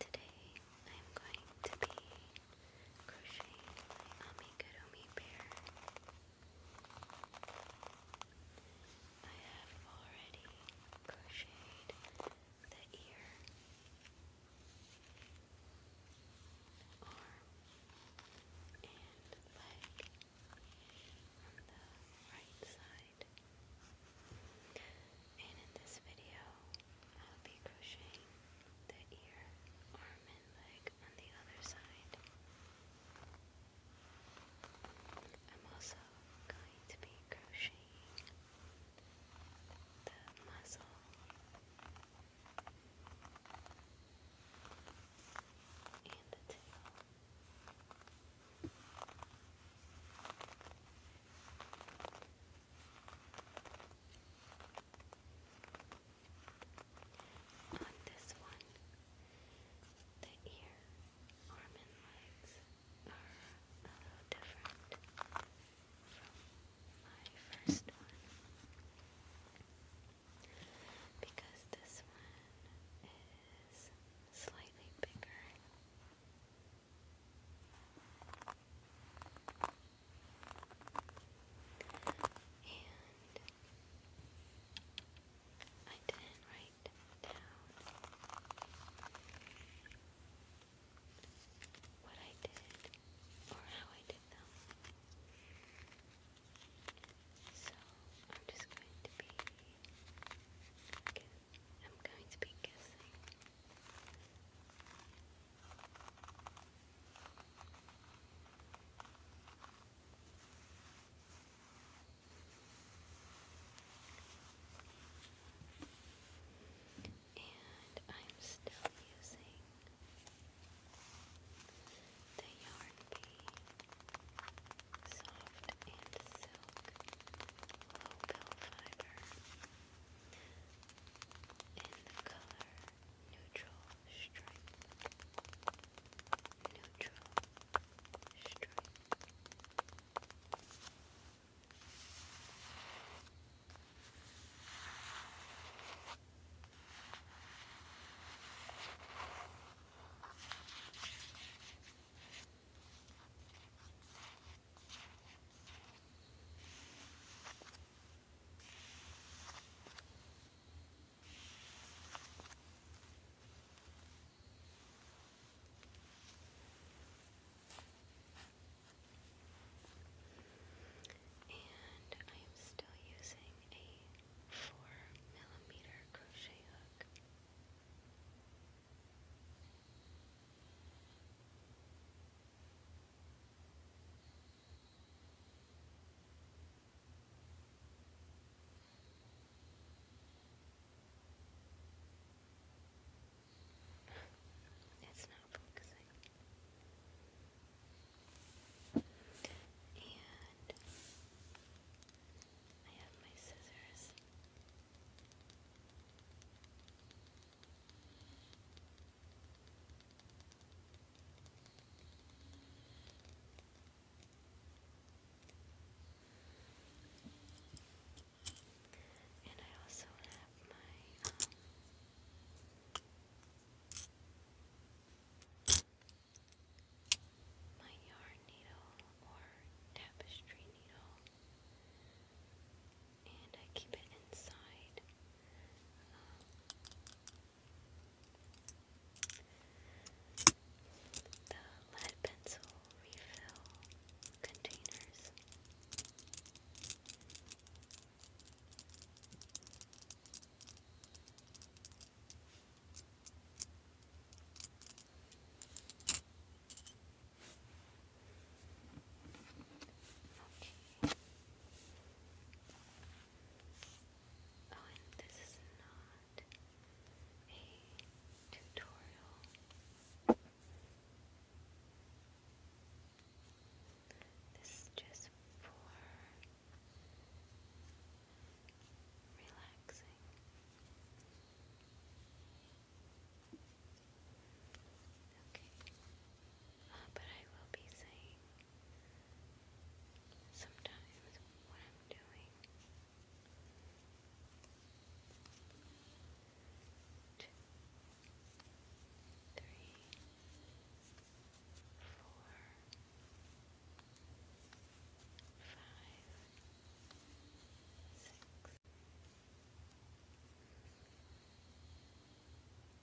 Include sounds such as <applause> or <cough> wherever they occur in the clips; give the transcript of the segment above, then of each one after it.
Today I'm going to be crocheting my amigurumi bear. I have already crocheted the ear, arm, and leg on the right side. And in this video, I'll be crocheting the ear, arm, and leg on the other side. I'm also going to be crocheting the muzzle. And the tail. On this one, the ear, arm, and are a little different from my first one because this one is slightly bigger. And I didn't write down what I did or how I did them. So I'm just going to be. I'm going to be guessing. And I'm still using the Yarn Bee Soft and Silk Low Pill Fiber in the color neutral stripe. Neutral stripe. And I am still using a four millimeter crochet hook. It's not focusing. And I have my scissors. And I also have my um, my yarn needle or tapestry needle and I keep it inside. the lead pencil refill containers. Okay. Oh, and this is not a tutorial. This is just for relaxing. Okay. Uh, but I will be saying sometimes what I'm doing two, three, four, five, six. Two, three, four,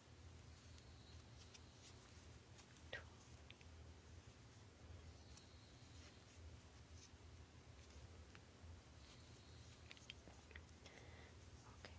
twelve, okay. One, two, oh, wait a second.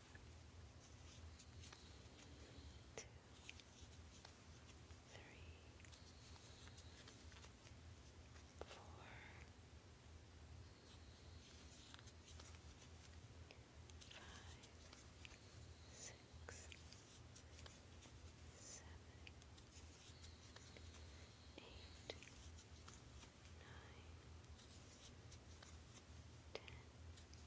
two, three, four, five, six, seven, eight, nine, ten. 11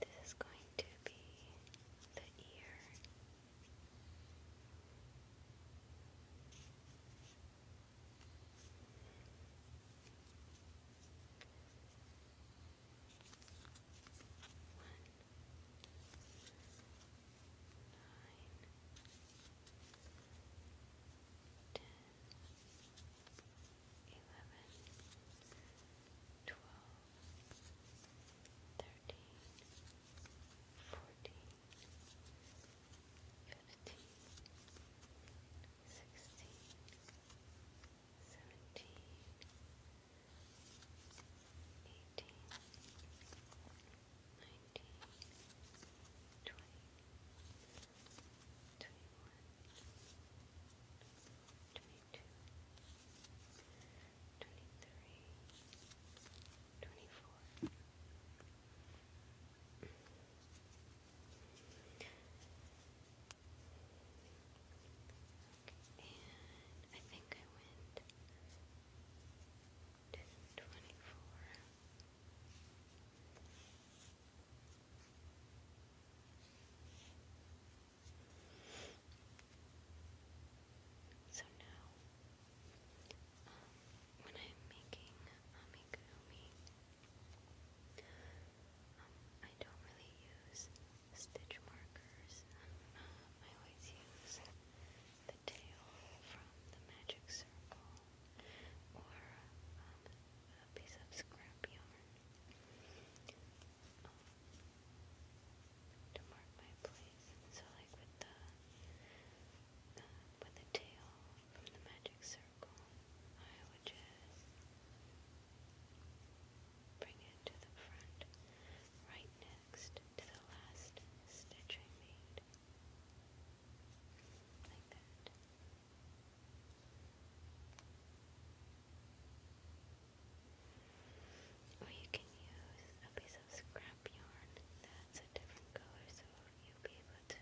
This is going to be the ear. One, nine, ten, eleven, twelve, thirteen, fourteen, fifteen, sixteen, seventeen, eighteen, nineteen, twenty, twenty-one. 22, twenty-two, twenty-three, twenty-four, and I think I went to twenty-four. So now, um, when I'm making amigurumi, um, I don't really use stitch markers. Um, I always use the tail from the magic circle or a piece of scrap yarn to mark my place. So like with the uh, with the tail from the magic circle, I would just bring it to the front, right next to the last stitch I made. Like that. Or you can use a piece of scrap yarn that's a different color so you'll be able to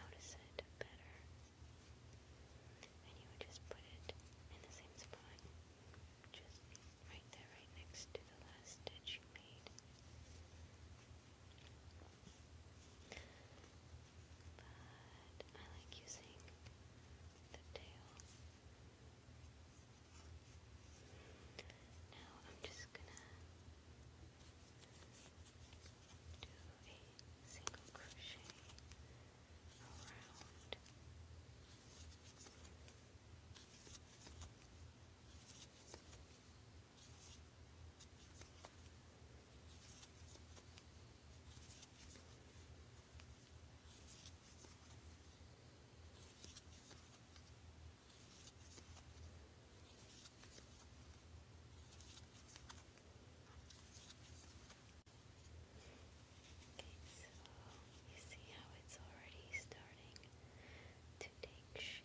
notice it better. And you would just put it in the same spot, just right there, right next to the last stitch you made. But I like using the tail. Now I'm just gonna do a single crochet around so you see how it's already starting to take shape.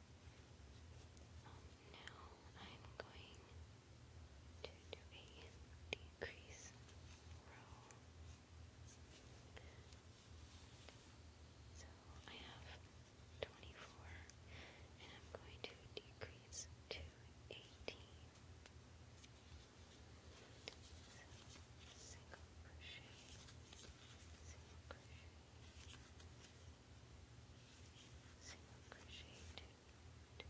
Um, now I'm going to do a decrease row. So I have 24 and I'm going to decrease to 18. So single crochet, single crochet, single crochet you do is you put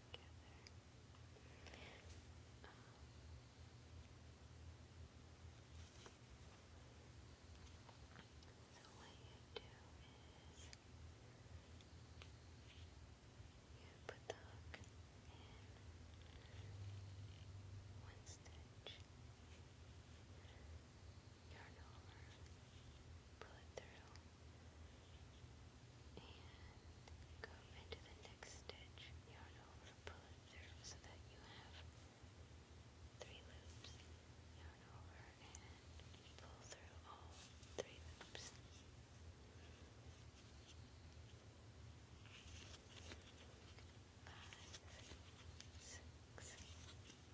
the hook in one stitch yarn over, pull it through, and go into the next stitch, yarn over, pull it through so that you have three loops, yarn over, and pull through all three loops. Five, six, seven,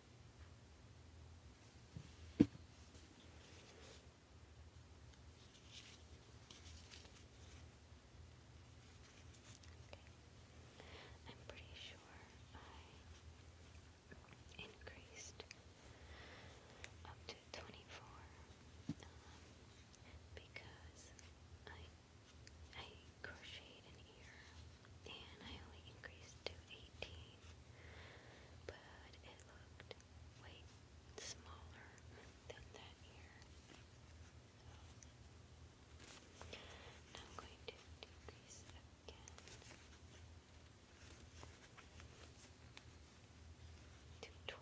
I'm pretty sure I increased up to 24 um, because I I crocheted an ear and I only increased to 18, but it looked way smaller than that here. now I'm going to decrease again to 12.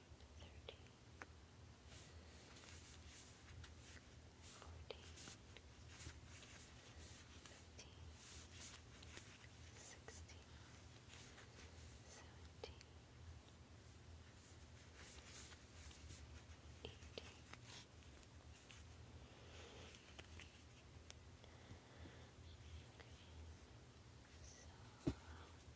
thirteen, fourteen, fifteen, sixteen, seventeen, eighteen. Okay. So,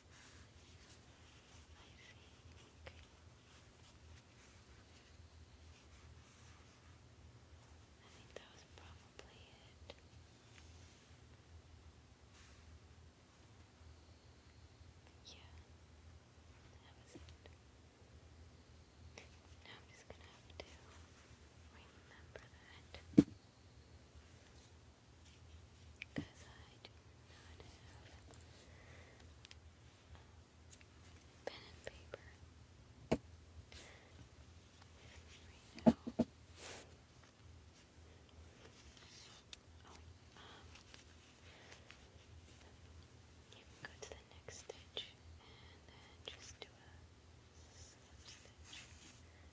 I think that was probably it. Yeah, that was it. Now I'm just gonna have to remember that because I do not have pen and paper right now. Um, you go to the next stitch and then just do a slip stitch.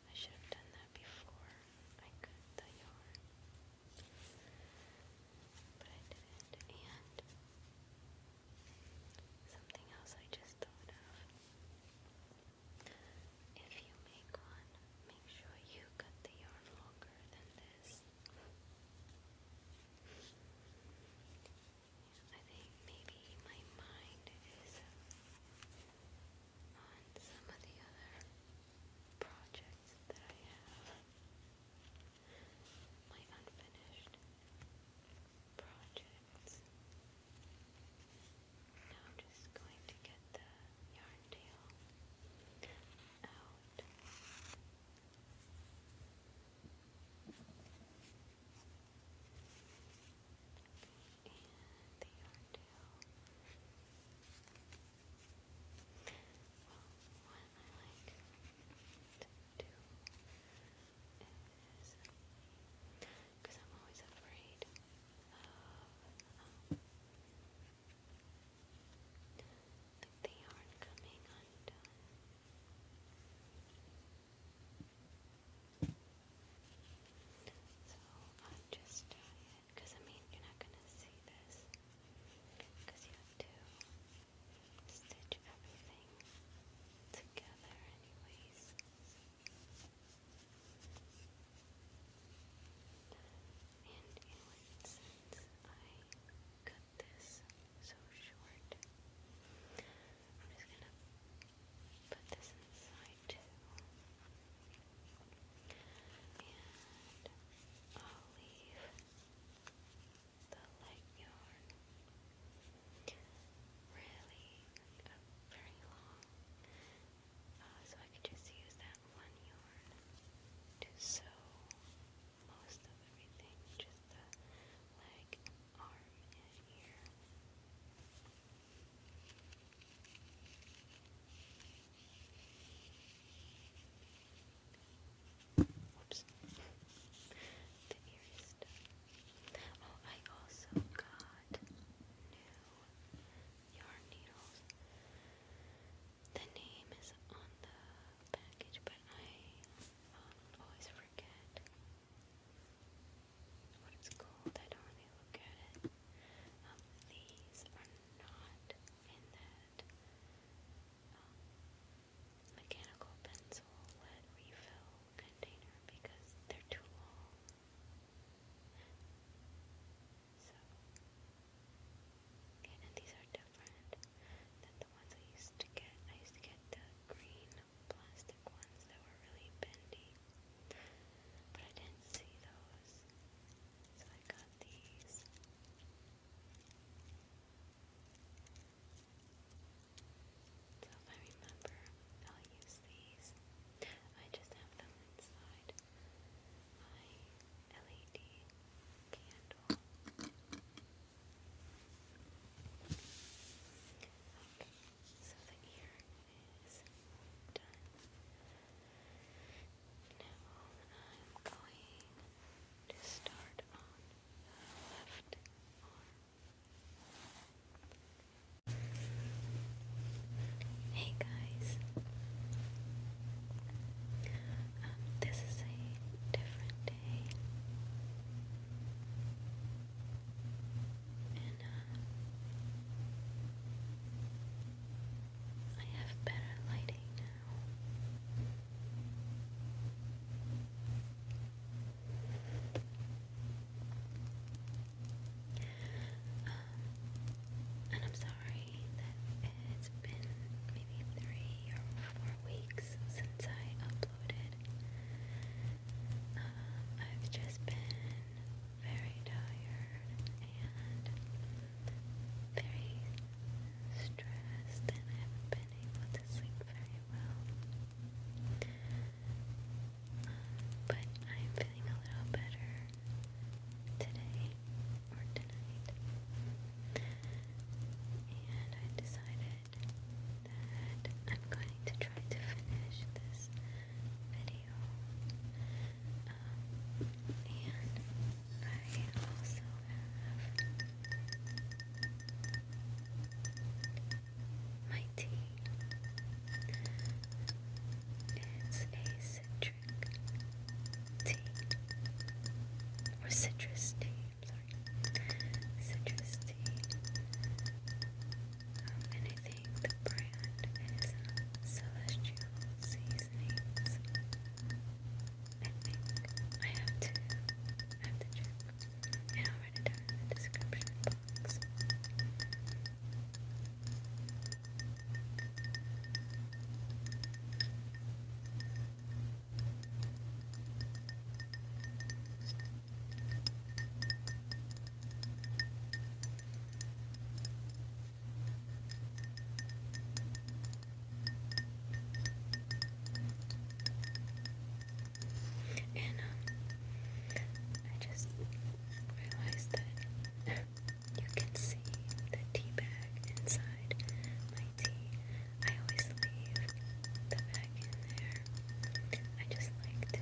I should have done that before I cut the yarn. But I didn't, and something else I just thought of. If you make one, make sure you cut the yarn longer than this. I think maybe my mind is on some of the other projects that I have my unfinished projects. Now I'm just going to get the yarn tail out. And the yarn tail well, what I like to do is, because I'm always afraid of um, like coming undone. So I just tie uh, it it, because I mean, you're not gonna see this, because you have to stitch everything together, anyways. And you know, since I cut this so short, I'm just gonna put this inside and I'll leave the light yarn uh, really very long, so I could just use that one yarn to sew most of everything, just the leg, arm, and ear. Whoops. The Oh, I also got new yarn needles. The name is on the package, but I um, always forget what it's called. I don't really look at it. Um, these are not in the lead, um, mechanical pencil lead refill container because they're too long. So, okay, and these are different than the ones I used to get. I used to get the green plastic ones that were really bendy, but I didn't see those. So I got these. So if I remember, I'll use these. I just have them inside my LED candle. Okay, so the ear is done. Now I'm going to start on the left arm. Hey guys, this is a different day. Uh, I have better lighting now. Um, and I'm sorry that it's been maybe three or four weeks since I uploaded. Uh, I've just been very tired and very stressed and I have been able to sleep very well. but I'm feeling a little better today or tonight. And I decided that I'm going to try to finish this video um, and I also have my tea. It's a citric tea. Or citrus tea, sorry. Citrus tea. and I think the brand is uh, Celestial Seasonings. I think I have to, I have to check, and I'll write it down in the description box. I and um, I just realized that <laughs> you can see the tea bag inside my tea. I always leave the bag in there. I just like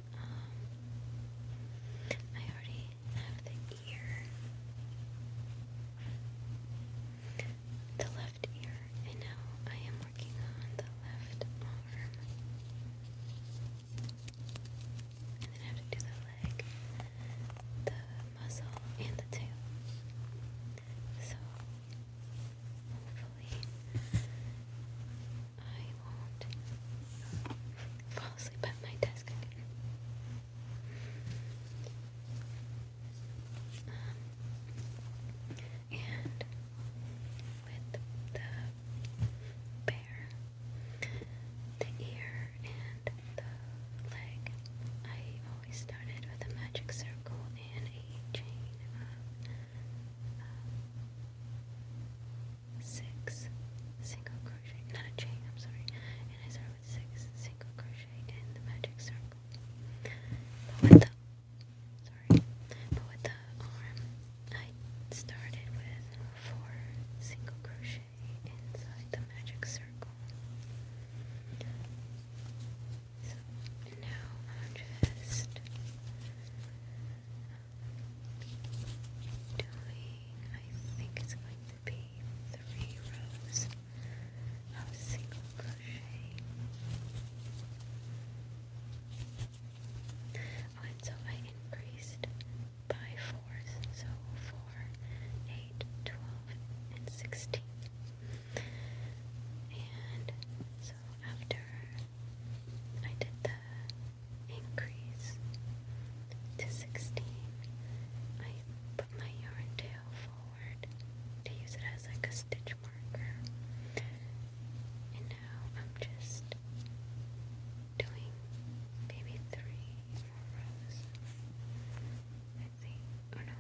I already have the ear, the left ear, and now I am working on the left arm. And then I have to do the leg, the muzzle, and the tail. So, hopefully, I won't fall asleep at my desk again. Um, and with the bear, the ear, and the leg, I always started with a magic circle and a chain of six single crochet, not a chain, I'm sorry, and I start with six single crochet in the magic circle. But with the, sorry, but with the arm, I started with four single crochet inside the magic circle. So now I'm just doing, I think it's going to be three rows of single crochet. Oh, and so I increased by fours, so four, eight, twelve, and sixteen. And so after I did the increase to 16. I put my yarn tail forward to use it as like a stitch marker. And now I'm just doing maybe three more rows. I think, oh no,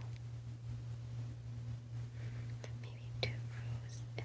maybe two rows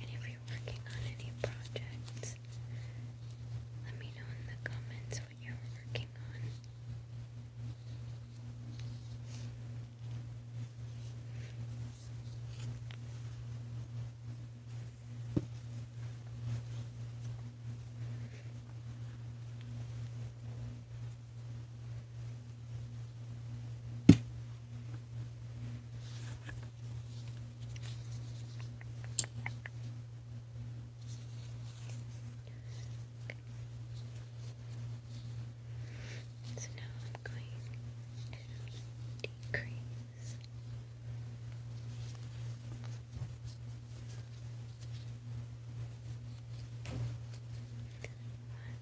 And if you're working on any projects, let me know in the comments what you're working on. So now I'm going to decrease.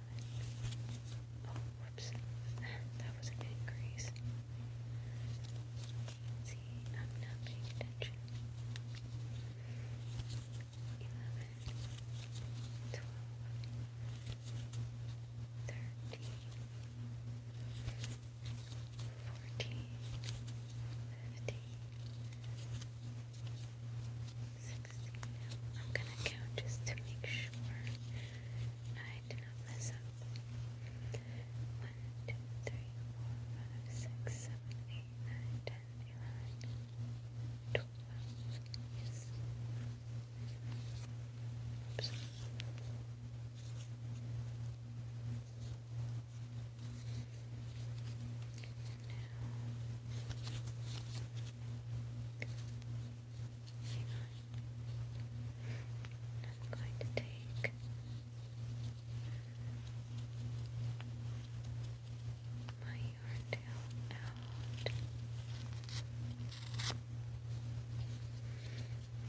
eleven. Oh, whoops. that was a good See, I'm not paying Eleven, twelve, thirteen, fourteen, fifteen six. I'm gonna count just to make sure I do not mess up. One, two, three, four, five, six, seven, eight, nine, ten, eleven, twelve. Oops. I'm going to take my yarn tail out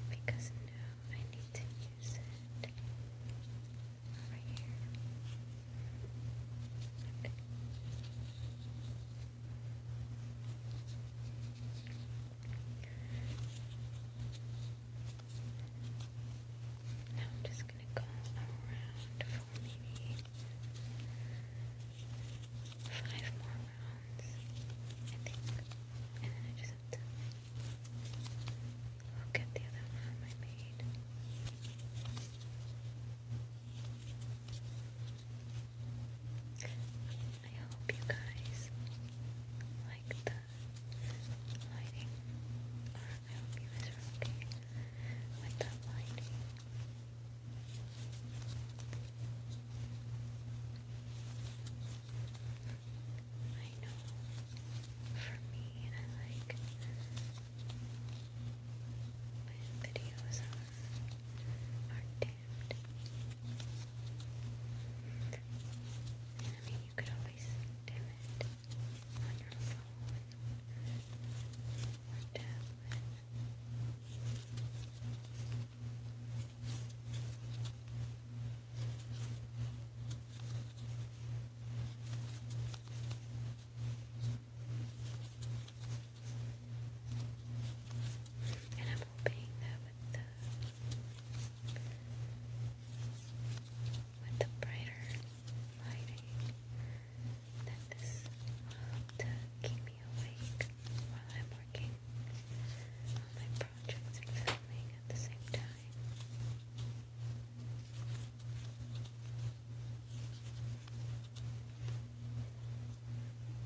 because now I need to use it over here. Now I'm just going to go around for maybe five more rounds, And then I just have to look at the other round I made. I hope you guys like the lighting, I hope you guys are okay with the lighting. I know for me, I like my videos are dimmed. I mean, you could always dim it on your phone or tablet. Okay. And I'm hoping that with the brighter lighting that this will help to keep me awake while I'm working on my projects and filming at the same time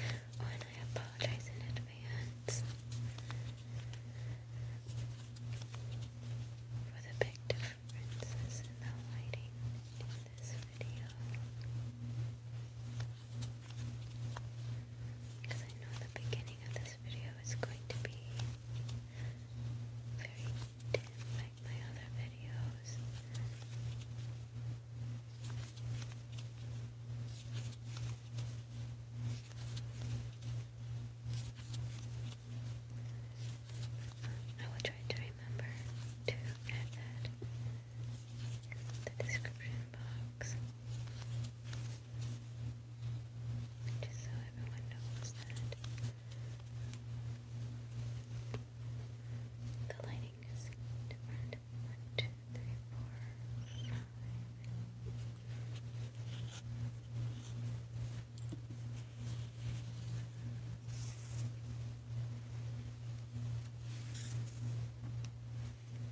Oh, and I apologize in advance for the big differences in the lighting in this video. Because I know the beginning of the this video is going to be very dim like my other videos. I will try to remember to add that in the description box. Just so everyone knows that the lighting is different. One, two, three, four, five.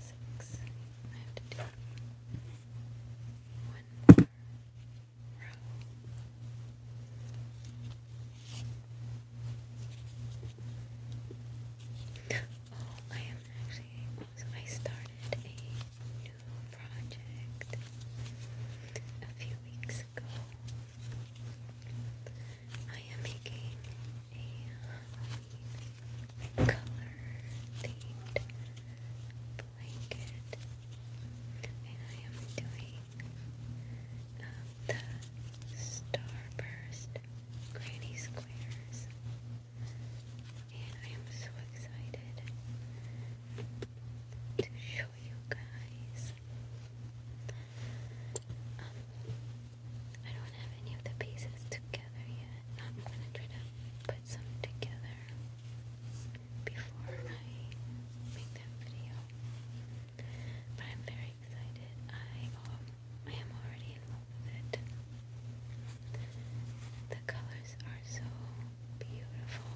six. I Oh, I am actually I started a new project a few weeks ago. I am making a color themed blanket, and I am doing the Starburst Granny Squares, and I am so excited to show you guys. Um, I don't have any of the pieces together yet. I'm gonna try to put some together before I make that video. But I'm very excited. I um, am already in love with it. The colors are so beautiful.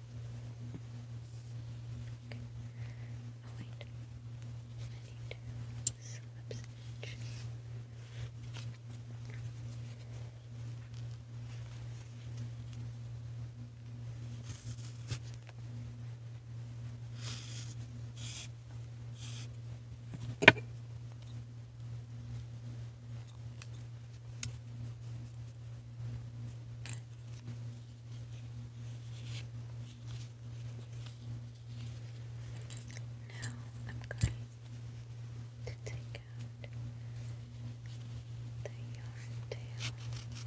Okay. i wait. I need slip stitch. Now I'm going to take out the yarn tail. I'm just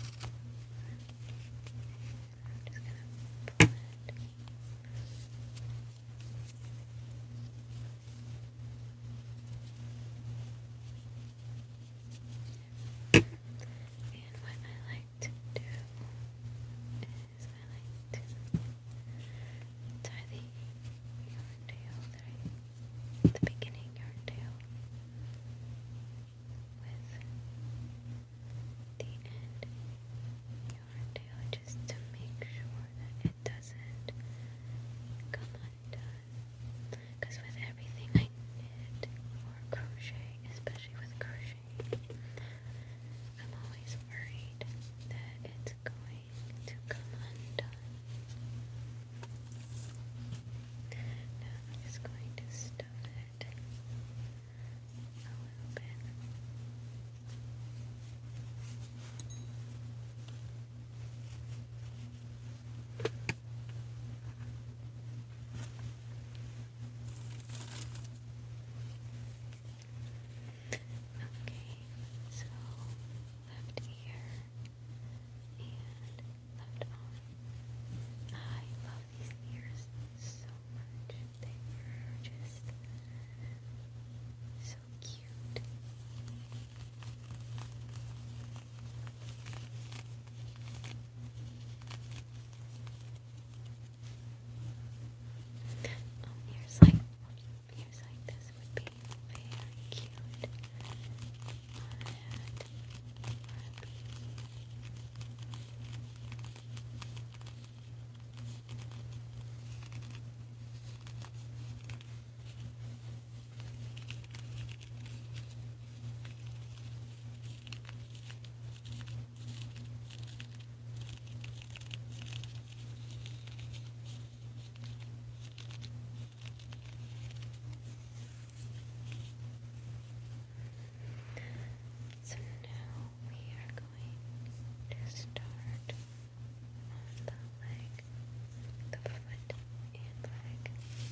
gonna pull it. And what I like to do is I like to tie the yarn tail at the beginning yarn tail with the end yarn tail just to make sure that it doesn't come undone. Because with everything I knit or crochet, especially with crochet, I'm always worried that it's going to come undone. I'm just going to stuff it a little bit. Okay, so left ear and left arm. I love these ears so much. They are just so cute. Oh, ears like, ears like this would be very cute so now we are going to start on the leg, the foot and leg.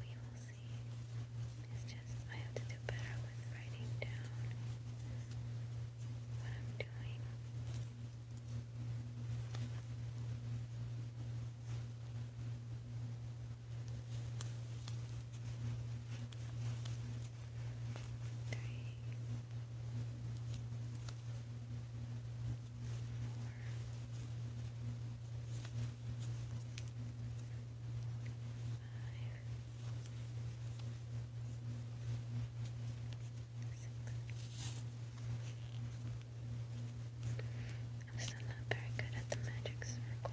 We will see. It's just, I have to do better with writing down what I'm doing. Three. I'm still not very good at the magic circle.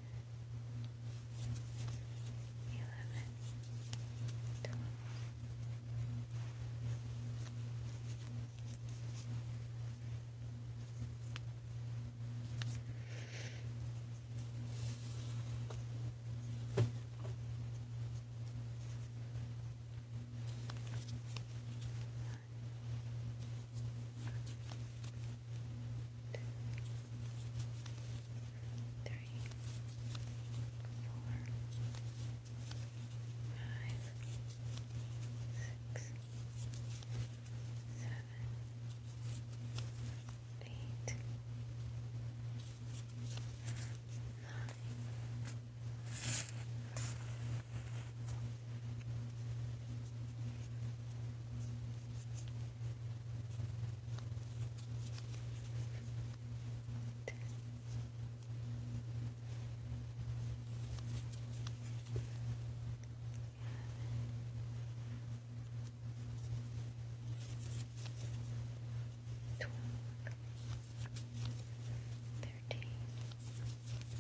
eleven, twelve three, four, five, six, seven, eight, nine. 10 Twelve, thirteen, fourteen,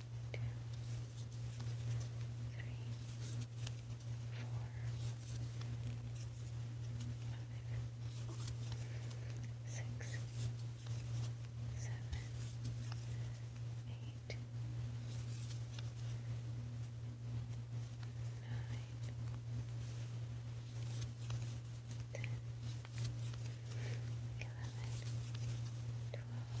two, three, four, five, six, seven, eight, nine, ten, eleven, twelve. 13,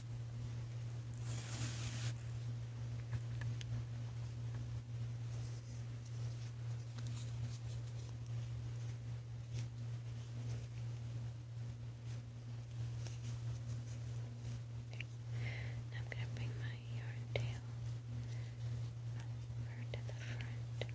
Now I'm going to bring my yarn tail over to the front.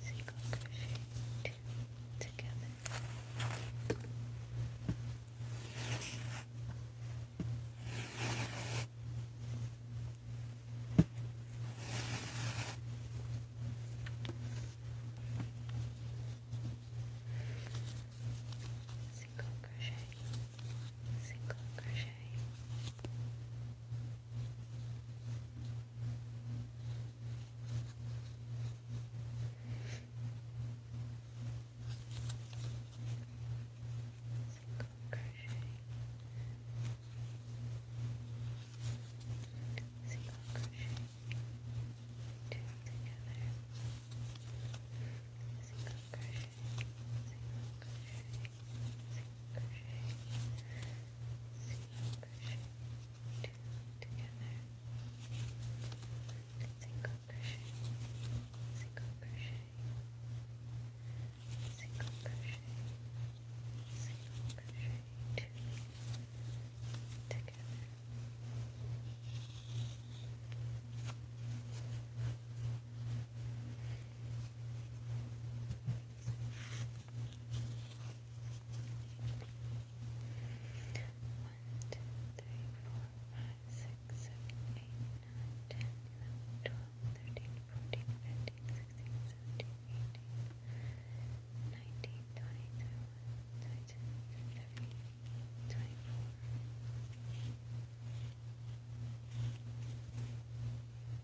single crochet two together. Single crochet, single crochet, Single crochet, single crochet, two together, single crochet, single crochet single crochet, single crochet, two together, single crochet, single crochet, single crochet, single crochet, two together. Single crochet, one, two, three, four, five, six, seven, eight, nine, ten, eleven, twelve, thirteen, fourteen, fifteen, sixteen, seventeen, eighteen, nineteen, twenty, twenty-one, twenty-two, twenty-three, twenty-four.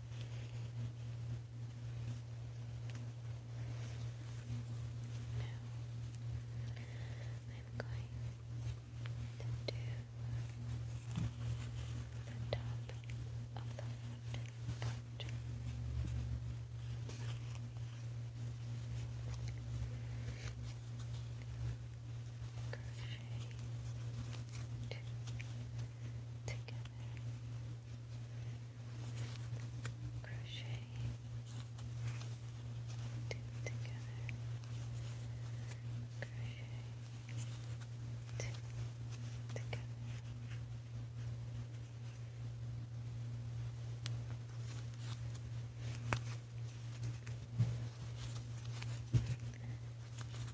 I'm going to do the top of the foot. Crochet two together. Crochet together. Crochet together.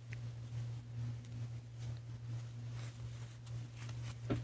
the last crochet two together.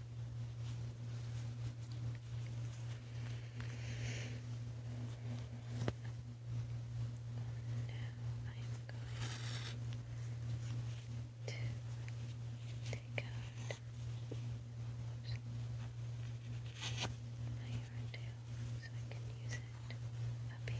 to take out my yarn tail so I can use it up here.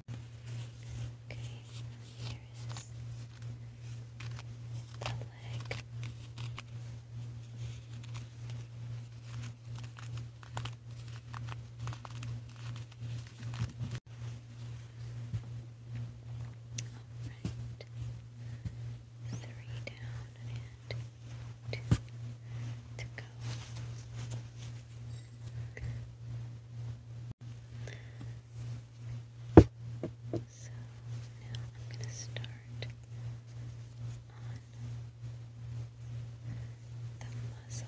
Okay, here is the leg. Alright. Three down and two to go. So now I'm going to start on the muzzle.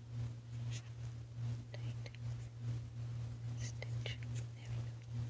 tight stitch. There we go. One,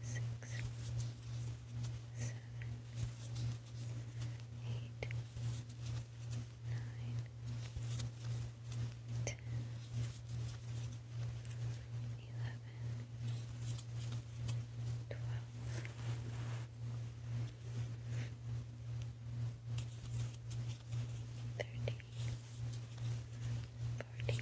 six, seven, eight, nine, ten, eleven, twelve. Thirty, forty,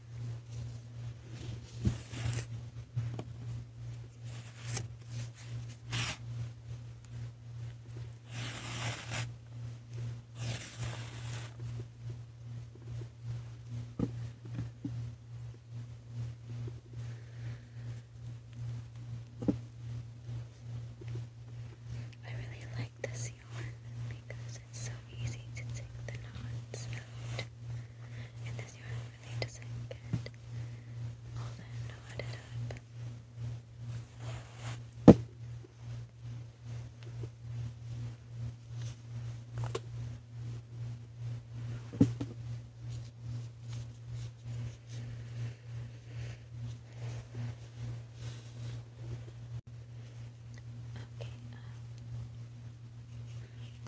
I really like this yarn because it's so easy to take the knots unless you have really to sink it all then knot it Okay, um,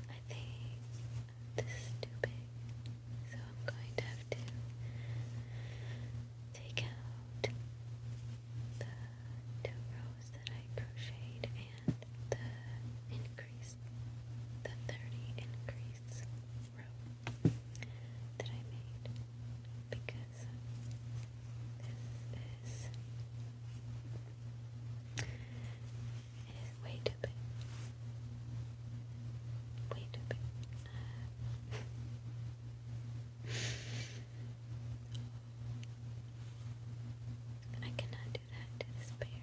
I think this is too big, so I'm going to have to take out the two rows that I crocheted and the increase, the 30 increase row that I made because this is it is way too big. Way too big. I cannot do that to It's way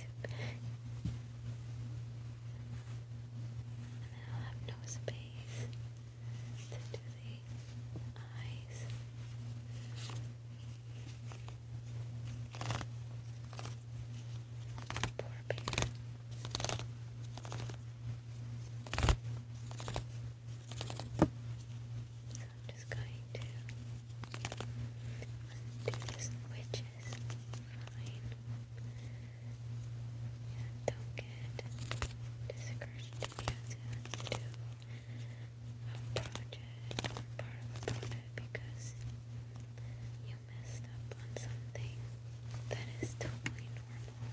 too big. And I'll have no space to do the eyes. Poor So I'm just going to undo this witch's fine. don't get discouraged if you to undo a project part of a project because you messed up on something that is totally normal.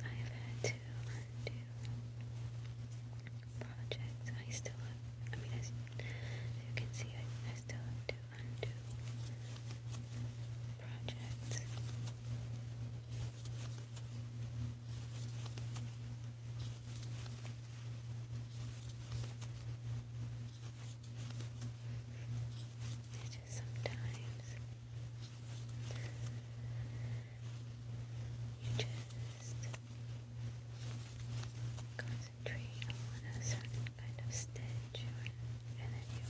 I've had to undo projects. I still have, I mean, as you can see, I, I still have to undo projects. It's just sometimes you just concentrate concentrate on a certain kind of stitch and then you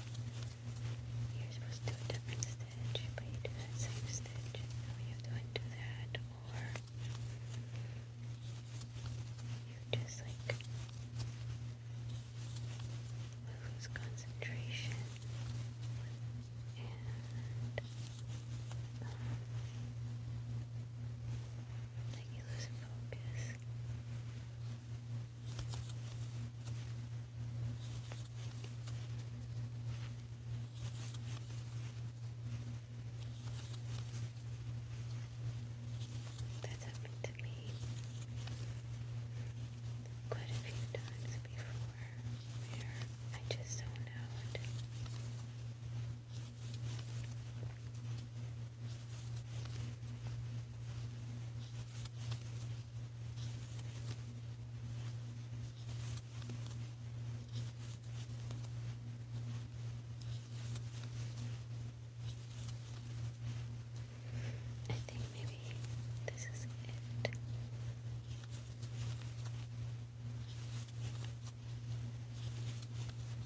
you're supposed to do a different stitch but you do that same stitch you don't do that or you just like lose concentration and um, that you That's happened to me quite a few times before I just zone out I think maybe this is it.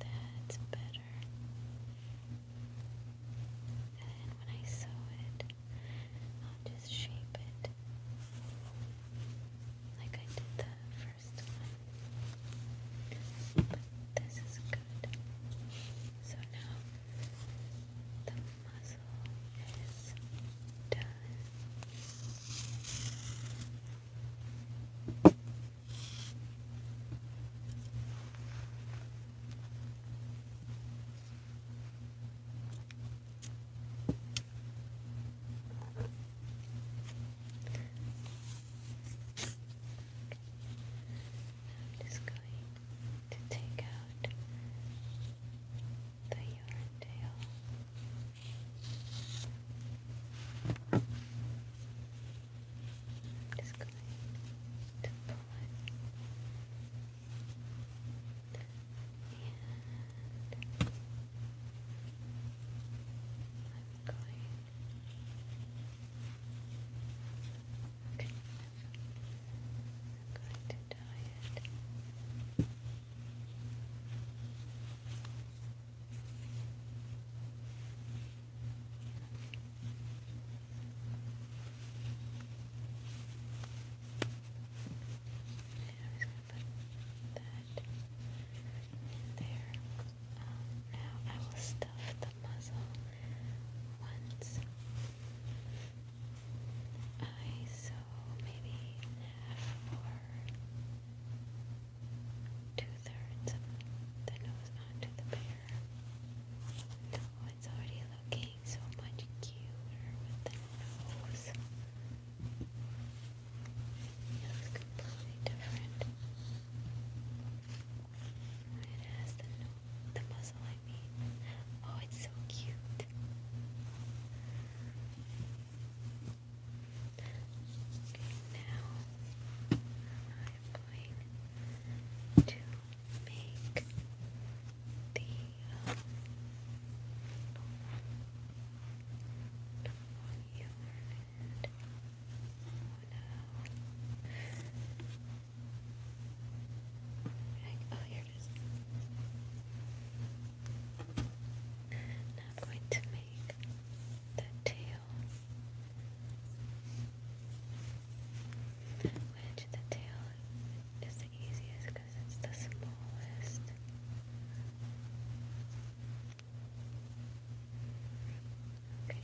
think that's better. And when I sew it, I'll just shape it like I did the first one. But this is good. So now muzzle is done. I'm just going to take out the yarn tail. I'm just going to pull it. And I'm going to tie it put that in there. now I will stuff the muzzle once. Okay, so maybe half or two-thirds of the nose onto the bear. Oh, it's already looking so much cuter with the nose. It completely different. It has the nose, the muzzle I mean. Oh, it's so cute. Okay, now I'm going to make the um, long and oh now i going to make the tail, which the tail is the easiest because it's the smallest. Okay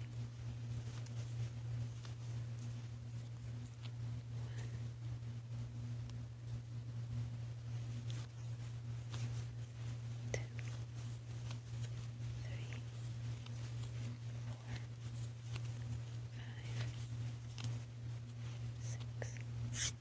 two, three, four, five, six. Seven,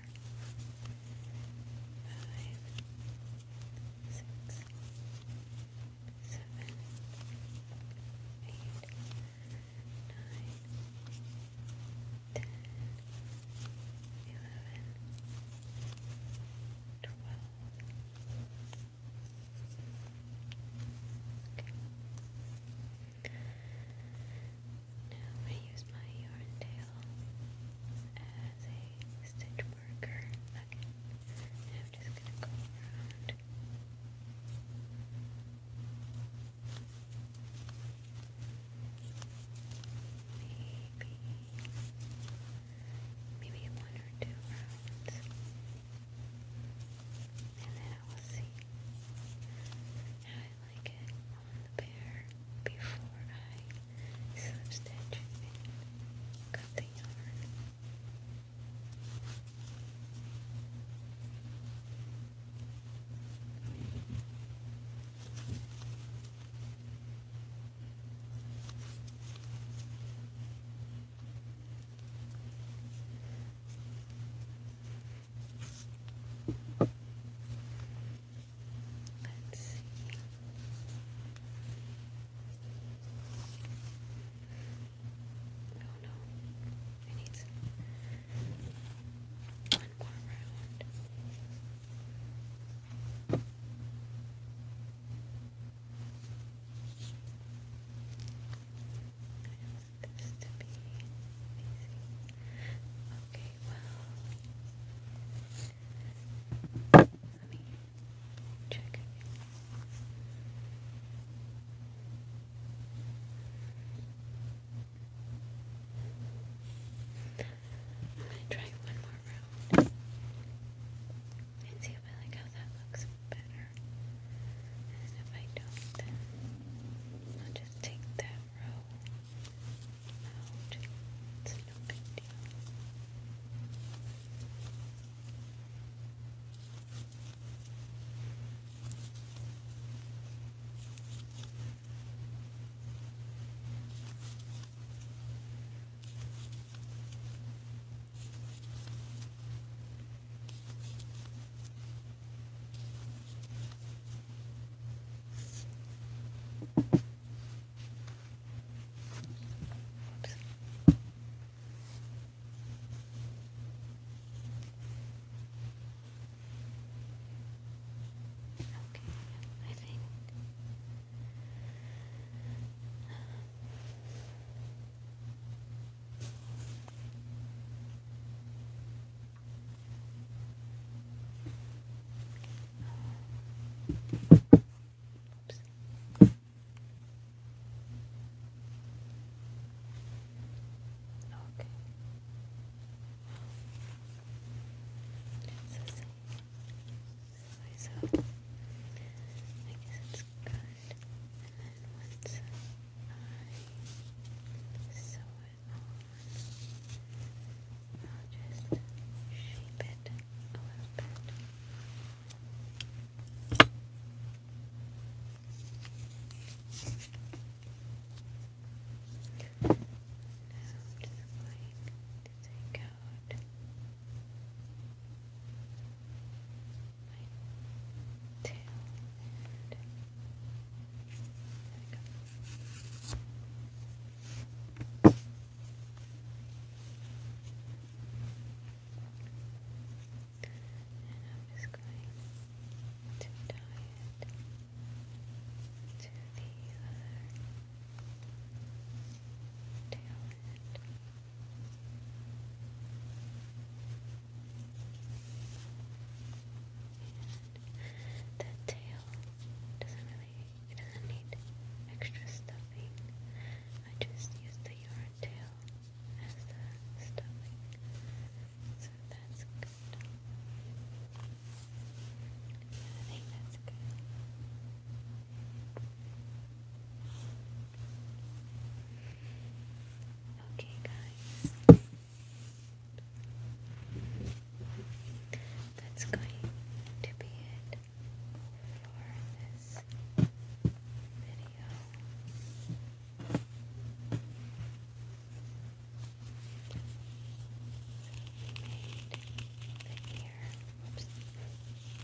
five, six, seven, eight, nine, ten, eleven, twelve. Okay. Now i use my yarn tail as a stitch marker. I'm just gonna go around. Maybe maybe one or two rounds. And then I will see how I like it on the bear before I substantially cut the yarn. Let's see. Oh no, I need some. one more round. I want this to be easy. Okay, well, let me check. I'm gonna try one more round and see if I like how that looks better. And if I don't, I'll just take that row out. It's no big deal. Oops. Okay, I think Oops. Okay. It's the same size up. I guess it's good. And then once I sew it on, I'll just shape it a little bit. Now to the blank to take out my tail and there we and I'm just going to tie it to the other tail end. And that tail doesn't really it doesn't need extra stuffing. I just use the yarn tail as the stuffing. So that's good. I think that's good. Okay, guys. That's going to be it for this video. So we Whoops. The arm.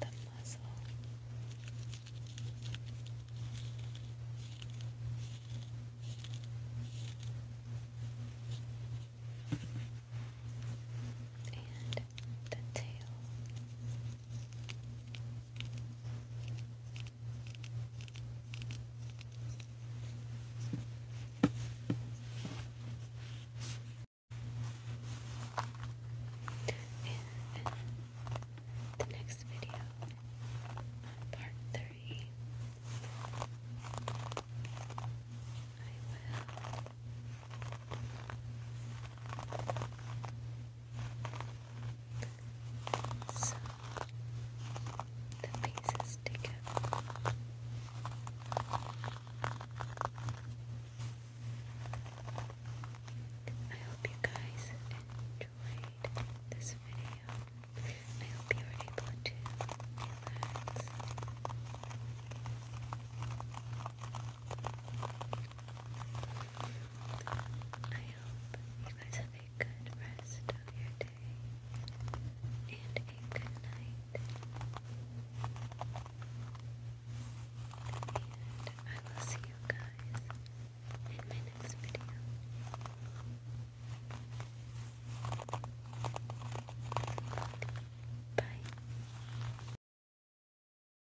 the muzzle. And the tail. In the next video, part three, I will so the pieces together. I hope you guys enjoyed this video. I hope you were able to relax. I hope you guys have a good rest of your day and a good night. And I will see you guys in my next video. Bye.